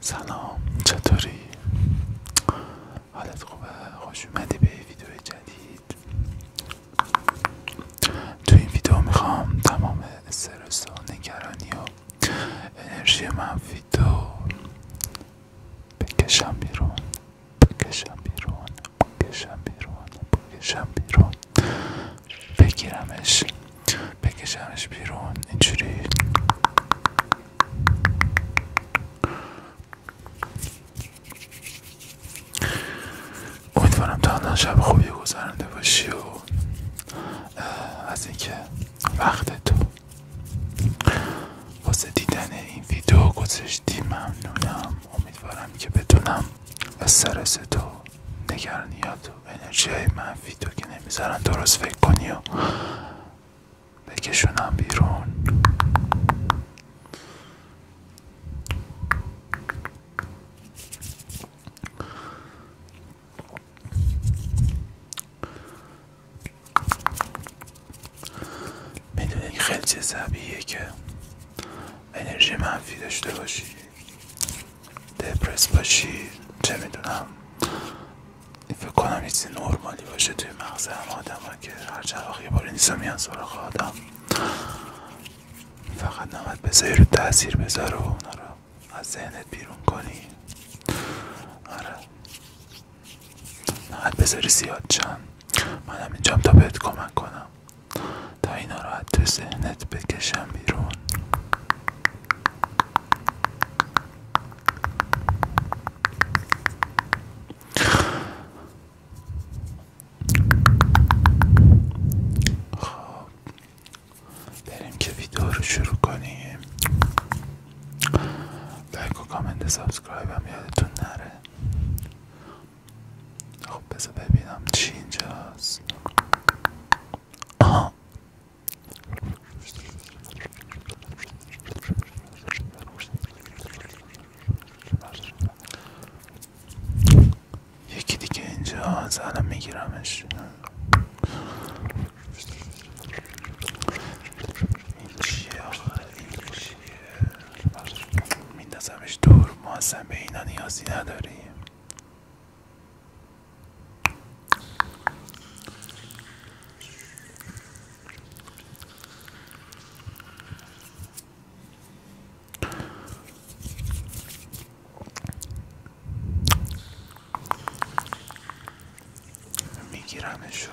سلام چطوری؟ حالت خوبه؟ خوش اومدی به ویدیو جدید تو این ویدیو میخوام تمام استرس و نگرانی و انرژی من تو بکشم بیرون بکشم بیرون بکشم بیرون بکشم بیرون بگیرمش بکشمش بیرون اینجوری امیدوارم تا الان شب خوبی گذرانده باشی و از اینکه وقت تو واسه دیدن این ویدیو گذاشتی ممنونم امیدوارم که بتونم استرس تو نگرانیات و انرژی های ویدیو که نمیذارن درست فکر کنی و بکشونم بیرون این خیلی چه که انرژی منفی داشته باشی دپرس باشی چه میدونم فکر کنم چیزی نرمالی باشه توی مغز هم آدم که هر جا وقت یه بار نیستا میان آدم فقط نمید بذاری رو تاثیر بذار و اونها رو از ذهنت بیرون کنی آره حت بذاری زیاد چند منم اینجام تا بهت کمک کنم تا اینا رو تو بکشم بیرون خب بریم که ویدیو رو شروع کنیم لایک و کامنت سبسکرایب هم یادتون نره خب بذار ببینم چی اینجاست آها یکی دیگه اینجا الان میگیرمش این چیه این چیه میندازمش دور ما اصلا به اینا نیازی نداریم میگیرمشو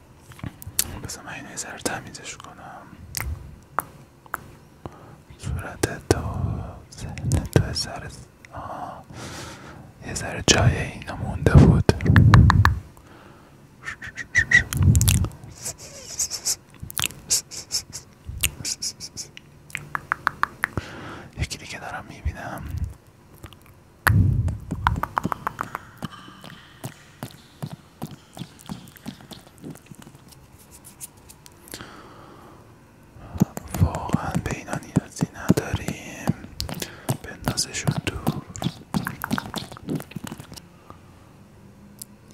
بذار من اینو یه ذره تمیزش کنم صورت تو تو آه. یه ذره جای اینا مونده بود یکی که دارم میبینم واقعا به اینا به نداریم بندازشون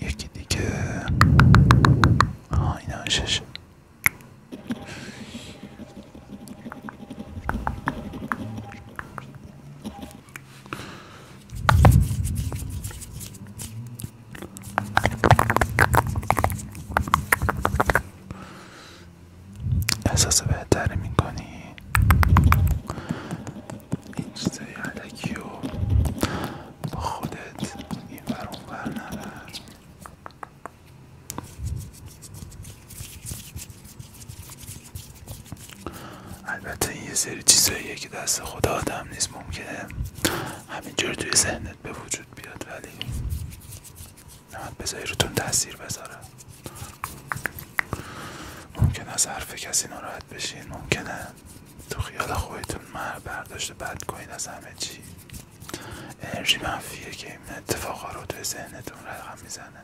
یکی دیگه احساس بهتری میکنی این چیزای علکی رو با خودت این بر اون البته این یه سری چیزهایی که دست خدا آدم نیست ممکنه همینجور توی ذهنت به وجود بیاد ولی نه بذاری روتون تاثیر بذاره ممکن از حرف کسی ناراحت بشین ممکنه تو خیال خودتون برداشت بد کنید از همه چی انرژی منفیه که این اتفاقها رو توی ذهنتون رقم میزنه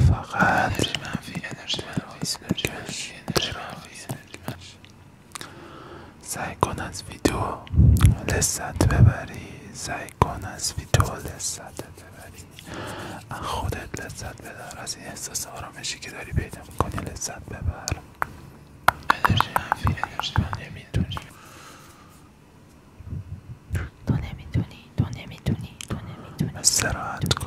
فقط انرژی منفی سعی کن از ویدیو لذت ببری سعی از ویدیو لذت ببری از خودت لذت ببر از این احساس آرامشی که داری پیدا کنی لذت ببر انرژی منفی انرژی من نمیدونی تو نمیدونی تو نمیدونی نمیدونی استراحت کن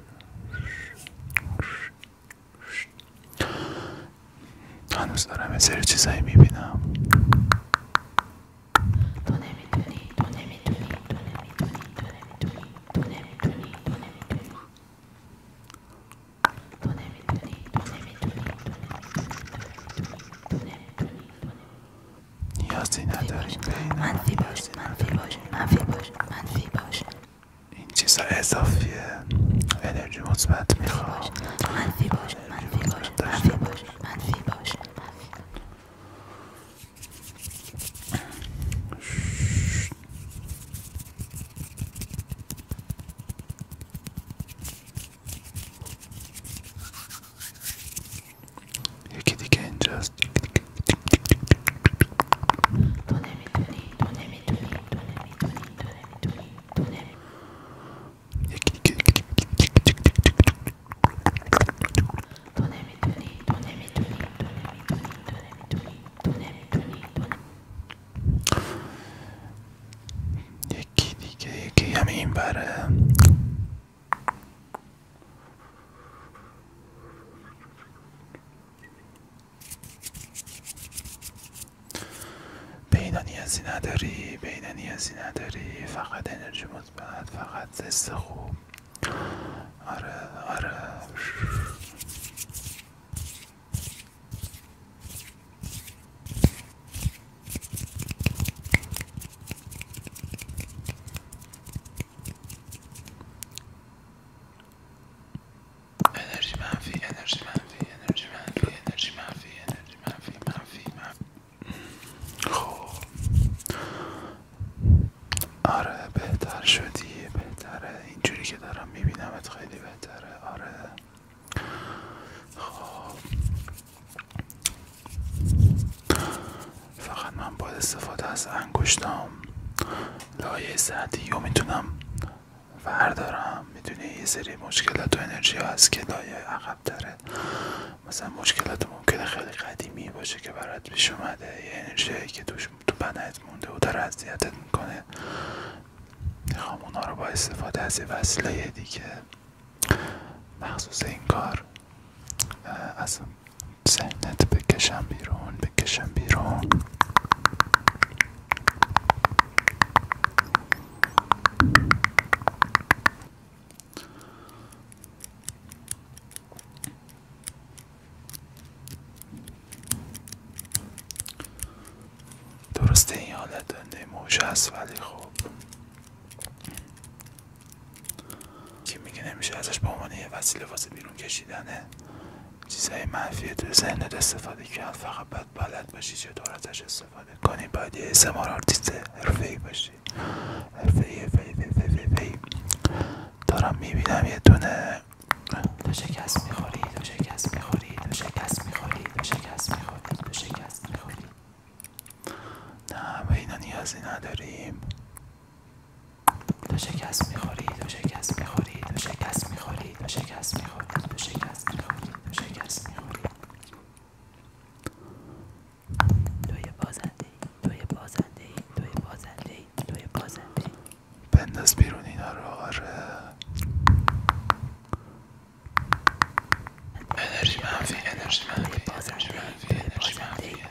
هنوز دارم یه سری چیزایی میبینم بینم نمیدونی تو نمیدونی تو نمیدونی تو تو تو تو تو نیازی من باش من باش باش باش منفی این چیز اضافیه انرژی مثبت میخواد You can't just. Yeki, yeki, yeki. I mean, but uh, پیدا نداری پیدا نداری فقط انرژی مثبت فقط زست خوب آره آره انرژی منفی انرژی منفی انرژی منفی انرژی منفی انرژی منفی منفی منفی آره بهتر شدی بهتره اینجوری که دارم میبینمت خیلی بهتره آره خب فقط من با استفاده از انگشتام لایه سعدی رو میتونم وردارم میدونی یه سری مشکلات و انرژی هست که لایه عقب داره مثلا مشکلات ممکنه خیلی قدیمی باشه که برات پیش اومده یه انرژی که توش تو بدنت مونده و در اذیتت میکنه میخوام اونا رو با استفاده از وسیله دیگه مخصوص این کار از سینت بکشم بیرون بکشم بیرون درسته این حالت دنده موش ولی خوب که میگه نمیشه ازش به عنوان یه وسیله واسه بیرون کشیدنه چیزهای منفی تو ذهنت استفاده کرد فقط باید بلد باشی چطور ازش استفاده کنی باید یه اسمار آرتیست حرفه باشی حرفه ای دارم میبینم یه دونه تو شکست میخوری تو شکست میخوری تو شکست میخوری تو شکست میخوری تو شکست میخوری نه و اینا نیازی نداریم تو شکست میخوری تو شکست میخوری تو شکست میخوری تو شکست میخوری تو شکست میخوری تو شکست میخوری توی بازنده توی بازنده توی بازنده توی بازنده بنداز بیرون اینا رو آره انرژی منفی انرژی منفی انرژی منفی انرژی منفی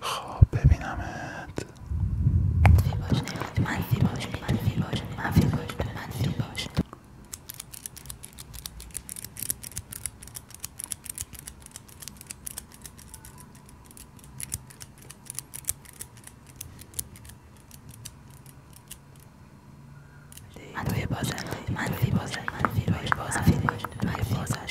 خب ببینمت باش باش باش منفی بازنده منفی بازنده منفی باش بازنده منفی بازنده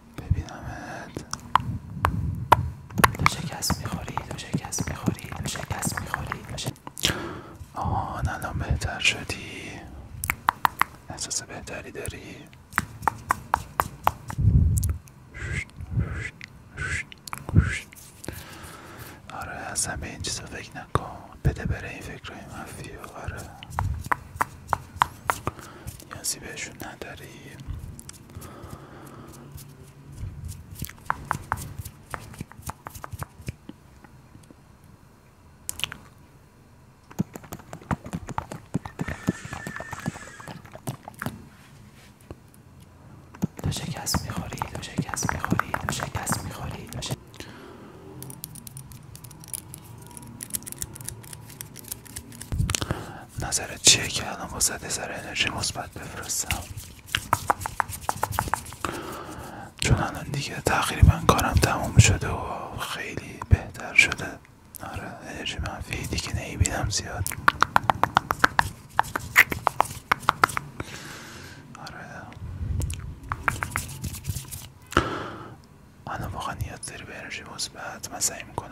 ببینمت تو شکست میخوری تو شکست میخوری تو شکست میخوری آهان الان بهتر شدی احساس بهتری داری آره اصلا به این چیزا فکر نکن بده بره این فکرهای منفی آره نیازی بهشون نداری تو شکست میخوری تو شکست میخوری تو شکست میخوری نظرت چیه که الان واسه سر انرژی مثبت بفرستم چون الان دیگه تقریبا کارم تموم شده و خیلی بهتر شده آره انرژی منفی دیگه بیدم زیاد آره الان واقعا نیاز داری به انرژی مثبت من سعی میکنم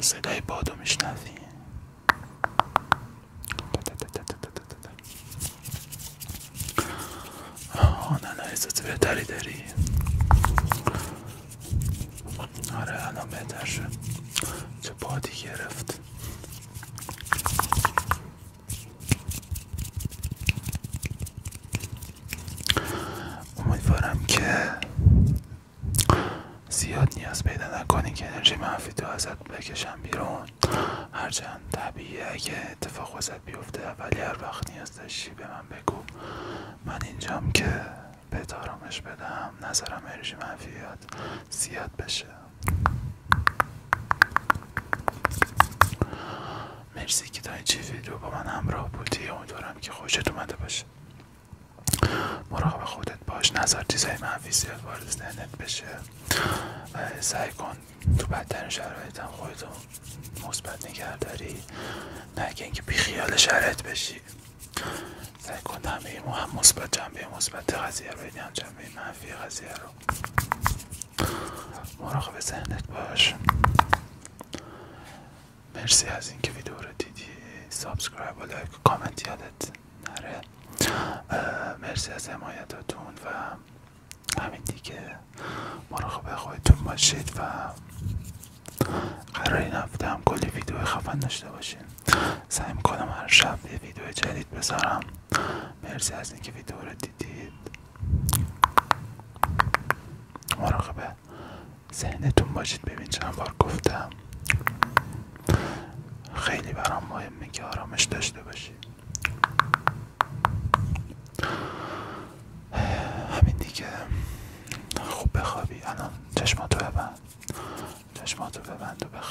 صدای بادو میشنوی آه نه نه احساس بهتری داری آره الان چه بادی گرفت امیدوارم که زیاد نیاز پیدا نکنی که انرژی منفی تو ازت بکشم بیرون هرچند طبیعیه اگه اتفاق وزت بیفته ولی هر وقت نیاز داشتی به من بگو من اینجام که به بدم نظرم انرژی منفی زیاد بشه مرسی که تا چه ویدیو با من همراه بودی امیدوارم که خوشت اومده باشه مراقب خودت باش نظر چیزای منفی زیاد وارد بشه سعی کن تو بدترین شرایط هم رو مثبت نگه داری نه که اینکه بیخیال شرایط بشی سعی کن همه هم مثبت جنبه مثبت قضیه رو هم جنبه منفی قضیه رو مراقب ذهنت باش مرسی از اینکه ویدیو رو دیدی سابسکرایب و لایک و کامنت یادت نره مرسی از حمایتتون و همین دیگه مراقب خودتون باشید و قرار این هفته هم کلی ویدیو خفن داشته باشین سعی میکنم هر شب یه ویدیو جدید بذارم مرسی از اینکه ویدیو رو دیدید مراقب ذهنتون باشید ببین چند بار گفتم خیلی برام مهمه که آرامش داشته باشید همین دیگه خوب بخوابی الان چشماتو ببند چشماتو ببند و بخوابی